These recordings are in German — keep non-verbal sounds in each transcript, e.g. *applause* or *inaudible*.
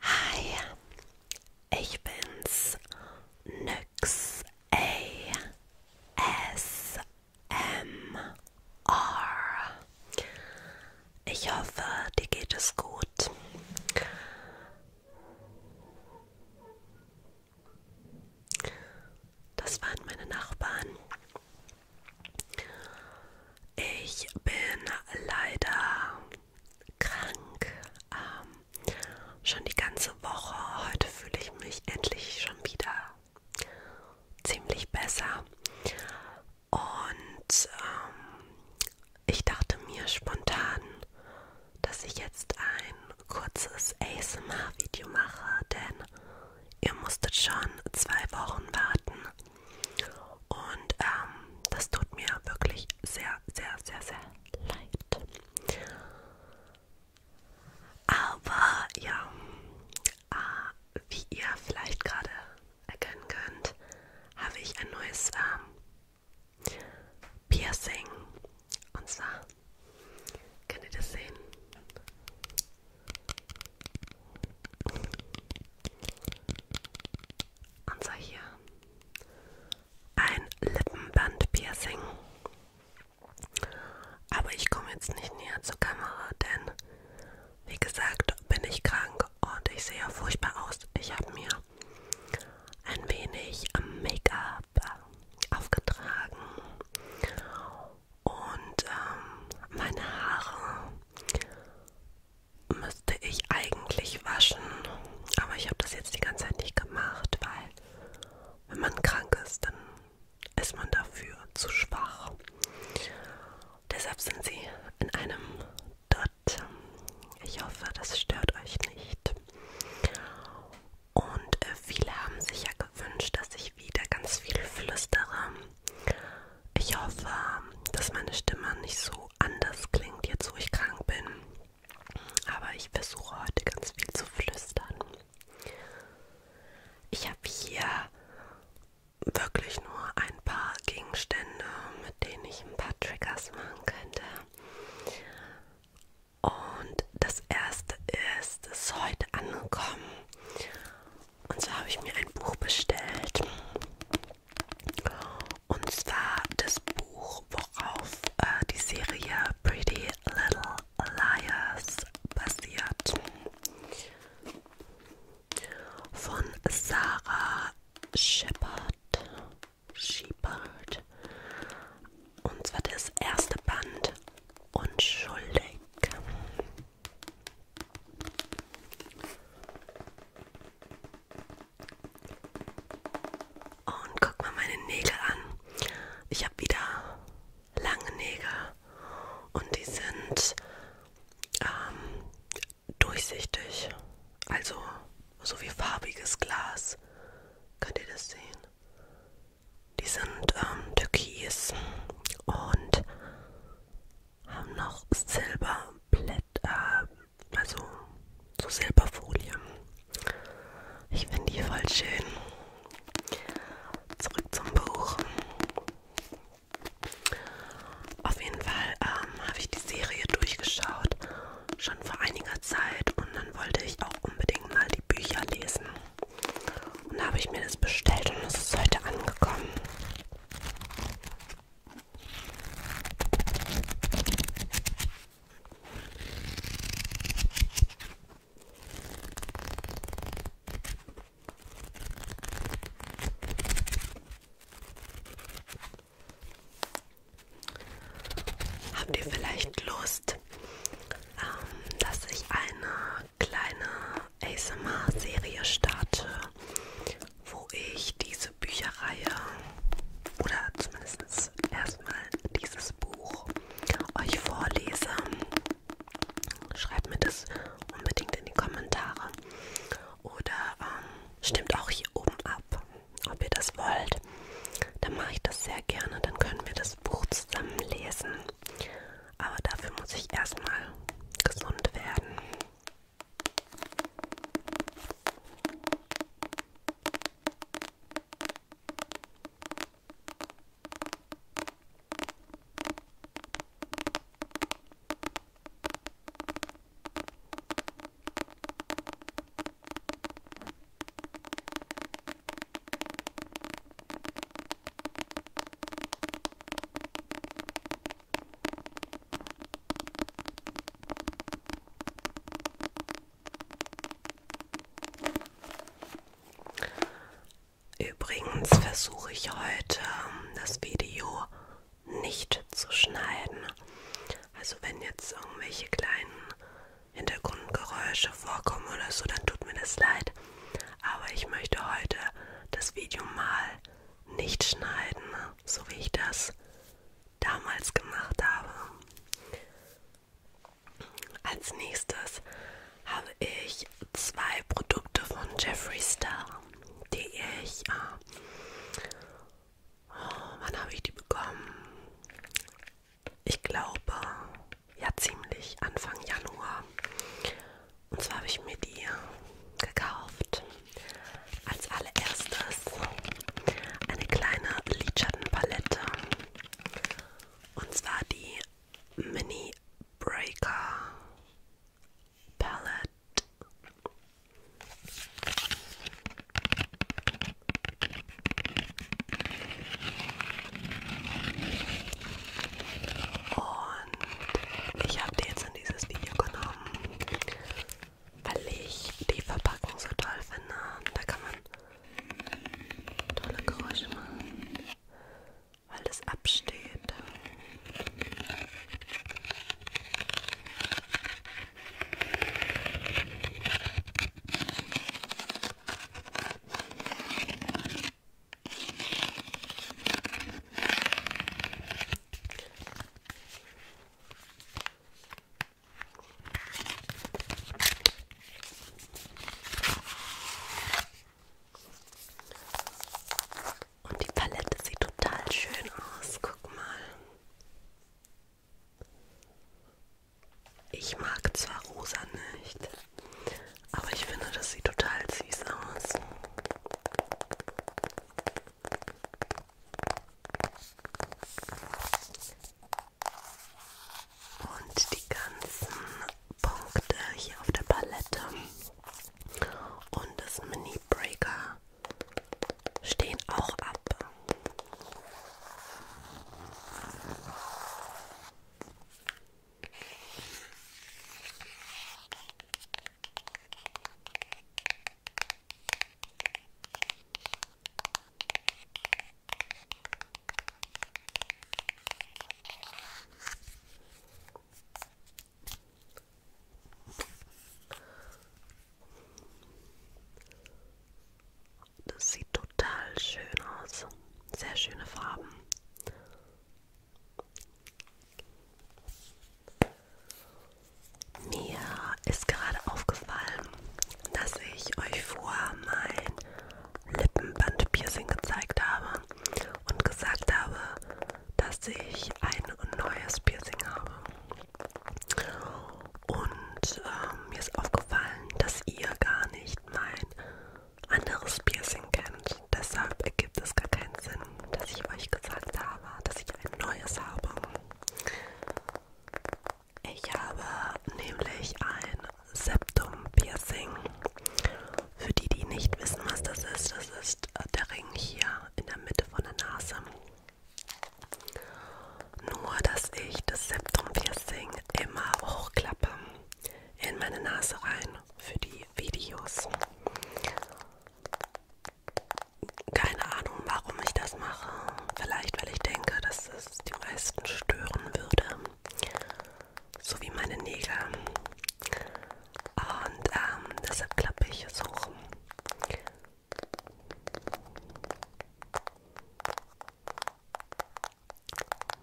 Hi, ich bin's, Nyx ASMR. Ich hoffe, dir geht es gut. Das waren meine Nachbarn. Ich bin leider krank. Ähm, schon die ganze Woche. Heute fühle ich mich endlich schon wieder ziemlich besser. Und ähm, ich dachte mir spontan, dass ich jetzt ein kurzes ASMR-Video mache, denn ihr musstet schon zwei Wochen warten, und ähm, das tut mir wirklich sehr, sehr, sehr, sehr leid. Aber ja, äh, wie ihr vielleicht gerade erkennen könnt, habe ich ein neues ähm, Piercing. Und zwar, könnt ihr das sehen? Und so hier ein Lippenband-Piercing. Aber ich komme jetzt nicht näher zur Kamera, denn wie gesagt bin ich krank und ich sehe furchtbar aus. Ich habe mir ein wenig Make-up aufgetragen und ähm, meine Haare müsste ich eigentlich waschen, aber ich habe das jetzt die ganze Zeit nicht gemacht, weil wenn man krank ist, dann ist man dafür zu schwach. Deshalb sind sie in einem Dot. Ich hoffe, das stört euch nicht. Und äh, viele haben sich ja gewünscht, dass ich wieder ganz viel flüstere. Ich hoffe, dass meine Stimme nicht so anders klingt, jetzt wo ich krank bin. Aber ich versuche heute ganz viel zu flüstern. Ich habe hier wirklich nur ein paar Gegenstände, mit denen ich ein paar Triggers machen könnte. Und das erste ist, ist heute angekommen. Und so habe ich mir ein Buch bestellt. Und zwar das Buch, worauf äh, die Serie Pretty Little Liars basiert. Von Sarah Shepard. Shepard. Und zwar das erste Band Unschuldig. Und guck mal meine Nägel an. Ich habe wieder lange Nägel und die sind ähm, durchsichtig. Also so wie farbiges Glas. Könnt ihr das sehen? Die sind ähm, türkis und haben noch Silberblätter, äh, also so Silberfolie. Ich finde die voll schön. Zurück zum Buch. Auf jeden Fall ähm, habe ich die Serie durchgeschaut, schon vor einiger Zeit. Und dann wollte ich auch unbedingt mal die Bücher lesen. Und da habe ich mir das bestellt und es ist heute angekommen. Habt ihr vielleicht Lust, ähm, dass ich eine kleine ASMR-Serie starte, wo ich diese Bücherreihe oder zumindest erstmal dieses Buch euch vorlese. Schreibt mir das unbedingt in die Kommentare oder ähm, stimmt auch hier oben ab, ob ihr das wollt. Dann mache ich das sehr gerne, dann können wir das Buch zusammen lesen. Aber dafür muss ich erstmal gesund werden. Übrigens versuche ich heute ähm, das Video nicht zu schneiden. Also wenn jetzt irgendwelche kleinen Hintergrundgeräusche vorkommen oder so, dann tut mir das leid. Aber ich möchte heute das Video mal nicht schneiden, ne? so wie ich das damals gemacht habe. Als nächstes habe ich zwei Produkte von Jeffree Star, die ich... Äh, oh, wann habe ich die bekommen? Ich glaube, ja ziemlich Anfang Januar. Und zwar habe ich mir die gekauft. Als allererstes eine kleine Lidschattenpalette. Und zwar die Mini Breaker Palette. Und ich habe die jetzt in dieses Video genommen, weil ich die Verpackung so toll finde. Da kann man tolle Geräusche machen, weil das absteht. Und die Palette sieht total schön aus. Guck mal. Ich mag zwar rosa nicht, aber ich finde, das sieht total süß aus. Und die ganzen Punkte hier auf der Palette und das Mini Breaker stehen auch ab. Das sieht total schön aus. Sehr schöne Farben. Mir ist gerade aufgefallen, dass ich euch vor mein Lippenbandpiercing gezeigt habe und gesagt habe, dass ich ein neues Piercing habe. Und äh, mir ist aufgefallen, dass ihr gar nicht mein anderes Piercing kennt. Deshalb ergibt es gar keinen Sinn, dass ich euch gesagt habe, dass ich ein neues habe. Ich habe nämlich ein Septum-Piercing. Für die, die nicht wissen, was das ist, das ist äh, der Ring hier in der Mitte von der Nase. Nur, dass ich das Septum-Piercing immer hochklappe in meine Nase rein. Für die, Videos. Keine Ahnung, warum ich das mache. Vielleicht, weil ich denke, dass es die meisten stören würde. So wie meine Nägel. Und ähm, deshalb klappe ich es hoch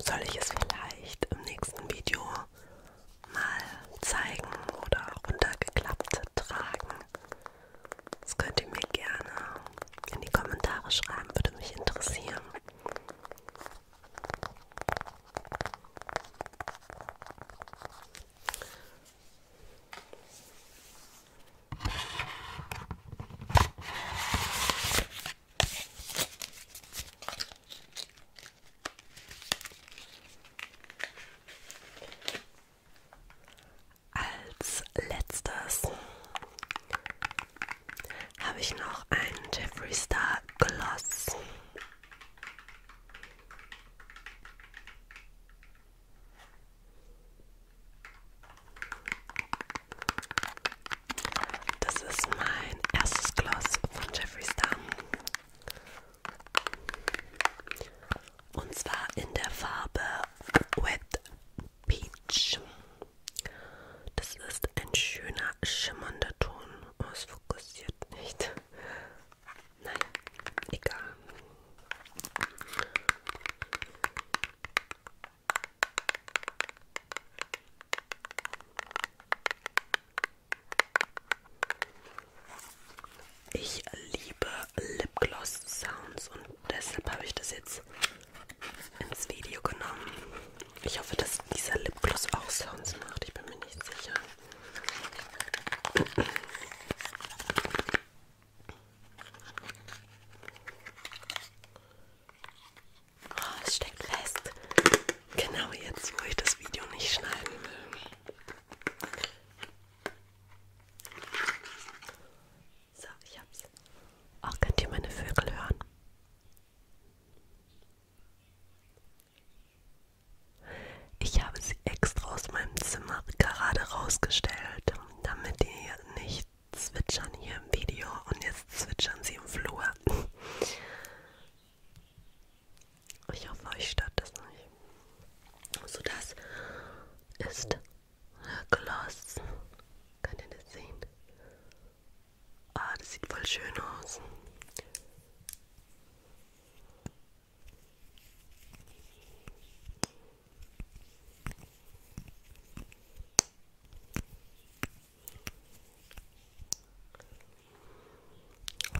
soll ich es vielleicht im nächsten Video mal zeigen oder runtergeklappt tragen? Das könnt ihr mir gerne in die Kommentare schreiben, würde mich interessieren. Als letztes habe ich noch ein Jeffree Star Gloss. Das ist mein erstes Gloss von Jeffree Star. Und zwar in der Farbe Wet Peach. Das ist ein schöner, schimmernder Ton. Oh, es fokussiert nicht. Nein, egal. Ich liebe Lipgloss Sounds und deshalb habe ich das jetzt ins Video genommen. Ich hoffe, dass dieser Lipgloss auch Sounds macht. Ich bin mir nicht sicher. Oh, es steckt fest. Genau jetzt, wo ich das Video nicht schneiden will. So, ich hab's. Auch oh, könnt ihr meine Vögel hören? Ich habe sie extra aus meinem Zimmer gerade rausgestellt, damit die nicht zwitschern hier im Video und jetzt zwitschern sie im Flur aber *laughs* ich hoffe, euch stört das nicht. So, das ist Gloss. Könnt ihr das sehen? Ah, das sieht voll schön aus.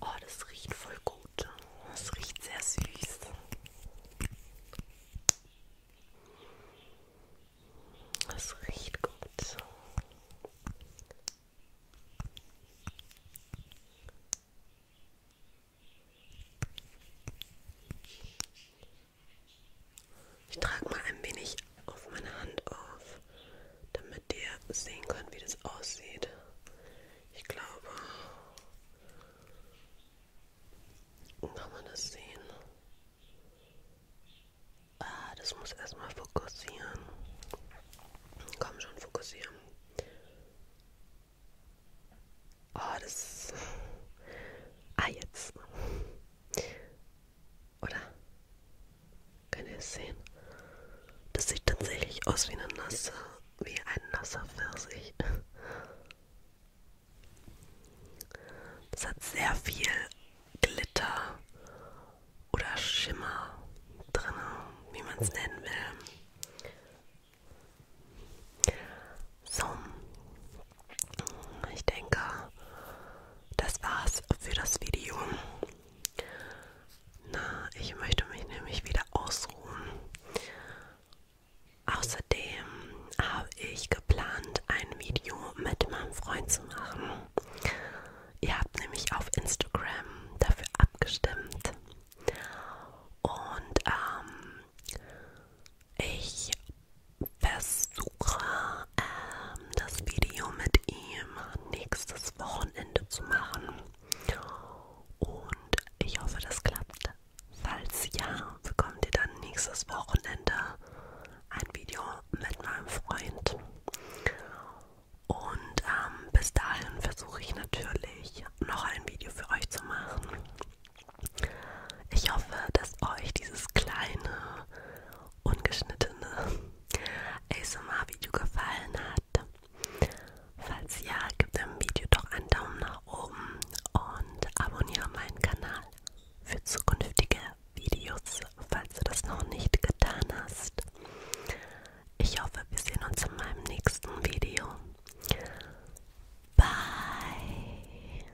Oh, das riecht voll gut. Das riecht sehr süß. Das riecht gut. Ich trage mal ein wenig auf meine Hand auf, damit ihr sehen könnt, wie das aussieht. Ich glaube, kann man das sehen? Ah, das muss erstmal fokussieren. Komm schon, fokussieren. Ah, oh, das. Ah, jetzt. Oder? Könnt ihr es sehen? Das sieht tatsächlich aus wie eine nasse, wie ein nasser Pfirsich. Das hat sehr viel Glitter oder Schimmer drin, wie man es nennen will. So, ich denke, das war's für das Video. Na, ich möchte mich nämlich wieder ausruhen. Außerdem habe ich geplant, ein Video mit meinem Freund zu machen. Ihr habt nämlich auf Instagram dafür abgestimmt. Und ähm, ich versuche, ähm, das Video mit ihm nächstes Wochenende zu machen. Und ich hoffe, das klappt. Falls ja, bekommt ihr dann nächstes Wochenende ein Video mit meinem Freund. Und ähm, bis dahin versuche ich natürlich noch ein Video für euch zu machen. Ich hoffe, dass euch dieses kleine ungeschnittene ASMR-Video gefallen hat. Falls ja, gib dem Video doch einen Daumen nach oben und abonniere meinen Kanal für zukünftige Videos, falls du das noch nicht getan hast. Ich hoffe, wir sehen uns in meinem nächsten Video. Bye!